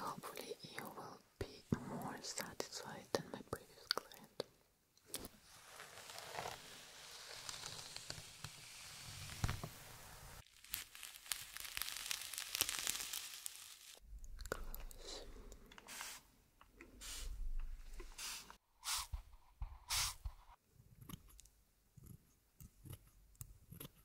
Hopefully you will be more satisfied than my previous client. Close.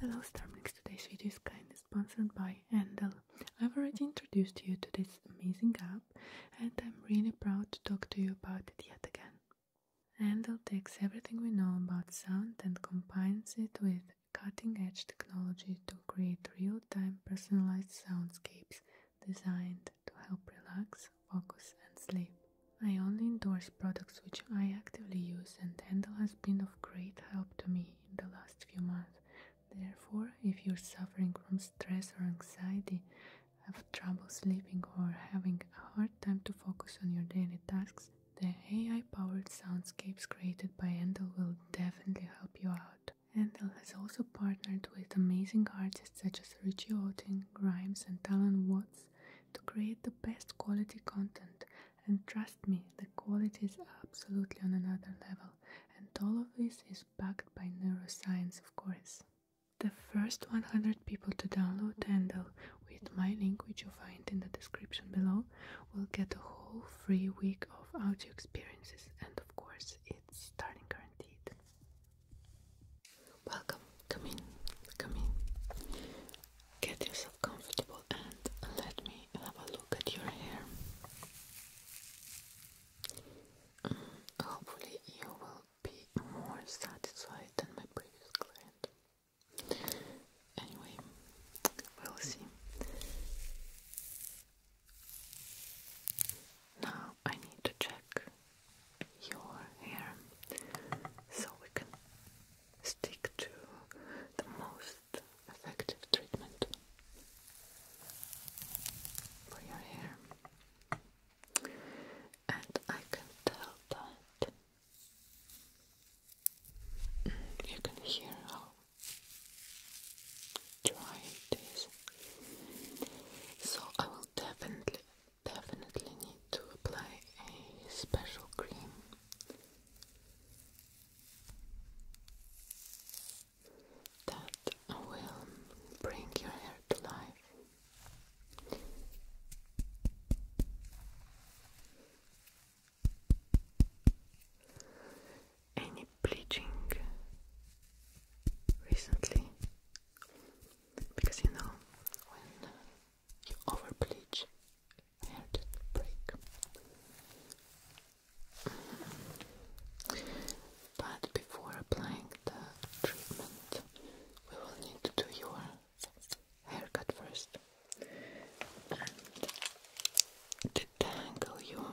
Hello Starmix, today's video is kindly sponsored by Endel. I've already introduced you to this amazing app and I'm really proud to talk to you about it yet again. Endel takes everything we know about sound and combines it with cutting-edge technology to create real-time personalized soundscapes designed to help relax, focus, and sleep. I only endorse products which I actively use, and Tendal has been of great help to me in the last few months. Therefore, if you're suffering from stress or anxiety, have trouble sleeping, or having a hard time to focus on your daily tasks, the AI powered soundscapes created by Endel will definitely help you out. Handel has also partnered with amazing artists such as Richie Otting, Grimes, and Talon Watts to create the best quality content. And trust me, the quality is absolutely on another level, and all of this is backed by neuroscience, of course. The first 100 people to download Handle with my link, which you'll find in the description below, will get a whole free week of audio experiences, and of course, it it's starting guaranteed. Welcome, come in, come in. Get yourself comfortable and let me have a look at your hair. Mm, hopefully, you will be more satisfied than my previous client. Anyway, we'll see. Now I need to check your hair so we can stick to the most effective treatment for your hair. And I can tell that you can hear how try this. So I will definitely, definitely need to apply a special cream. That will bring your hair to life any bleaching recently because you know when you over bleach hair break. But before applying the treatment, we will need to do your haircut first and detangle your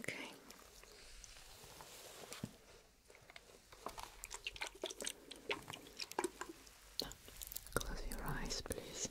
Okay. Close your eyes, please.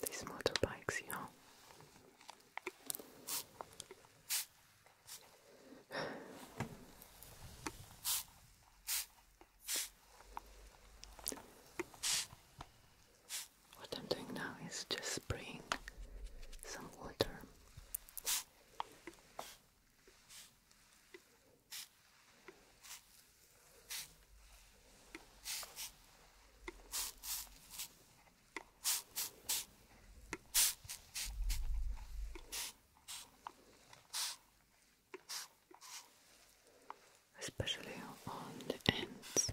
These motorbikes, you know. What I'm doing now is just spraying some water. Especially on the ends.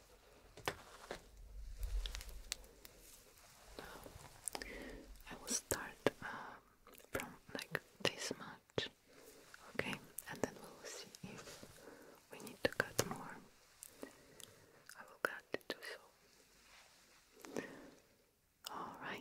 I will start um, from like this much, okay, and then we will see if we need to cut more. I will cut it too, so. All right.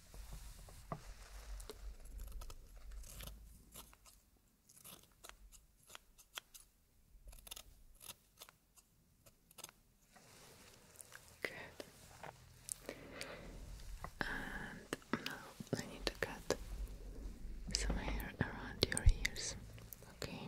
Good. And now I need to cut some hair around your ears. Okay.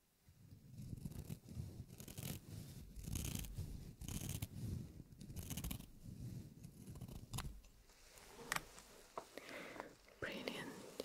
Brilliant.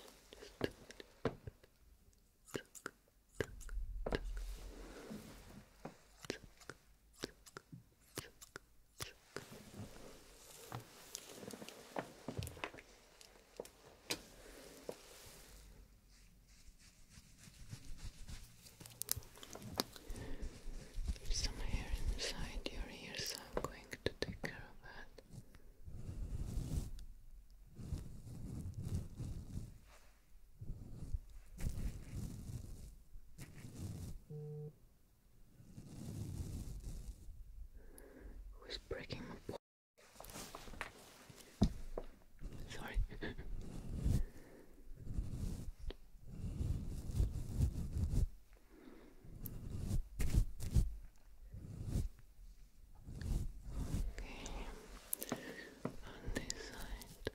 There's some hair inside your ear, I'm going to take care of that. Who's breaking my Sorry. Okay. On this side.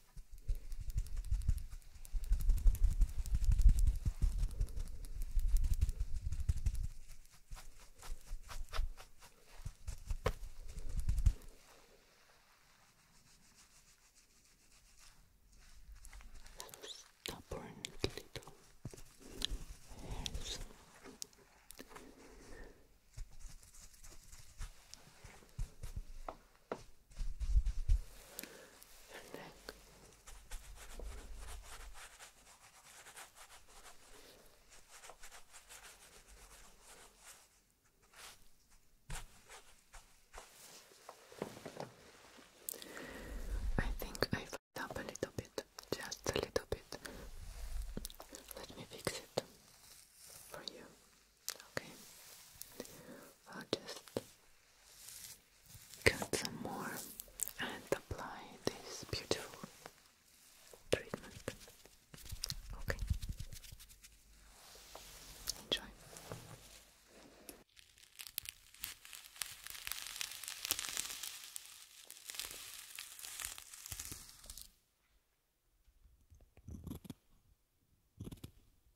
Stubborn little hairs. Yes your I think I fucked up a little bit, just a little bit. Let me fix it for you. Okay, I'll just cut some more and apply this beautiful treatment. Okay, enjoy.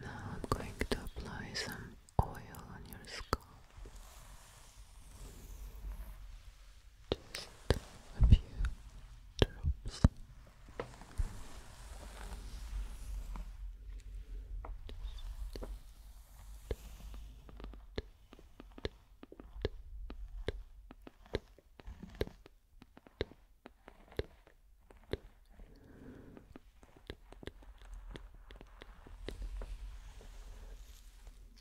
Now I'm going to apply some oil on your scalp. Just a few drops. Just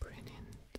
Brilliant.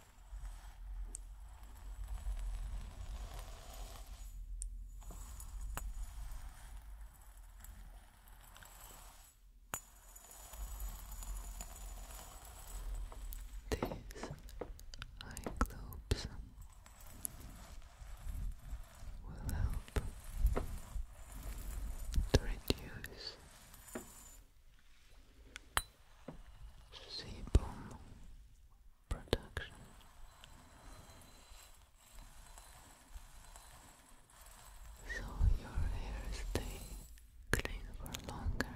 These eye globes will help to reduce Seaboom Production. So your hair stay clean for longer.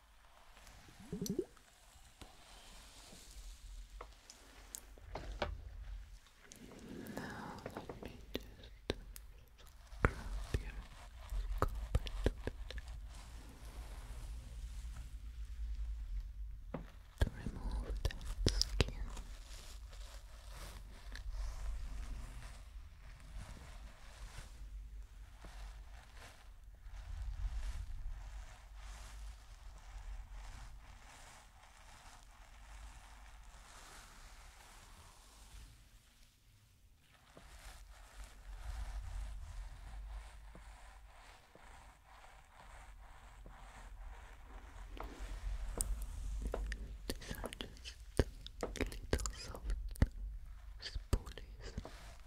Now let me just grab your scalp to remove that skin. These are just little soft spoolies.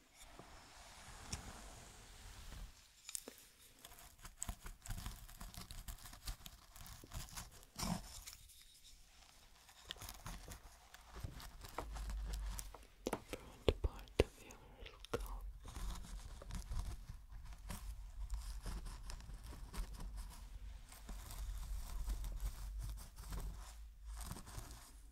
Front part of your scalp.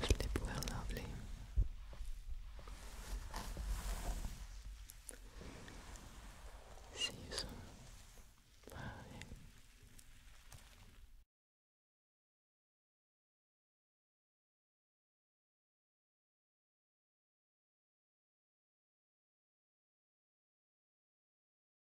Sleep well, lovely. See you soon. Bye.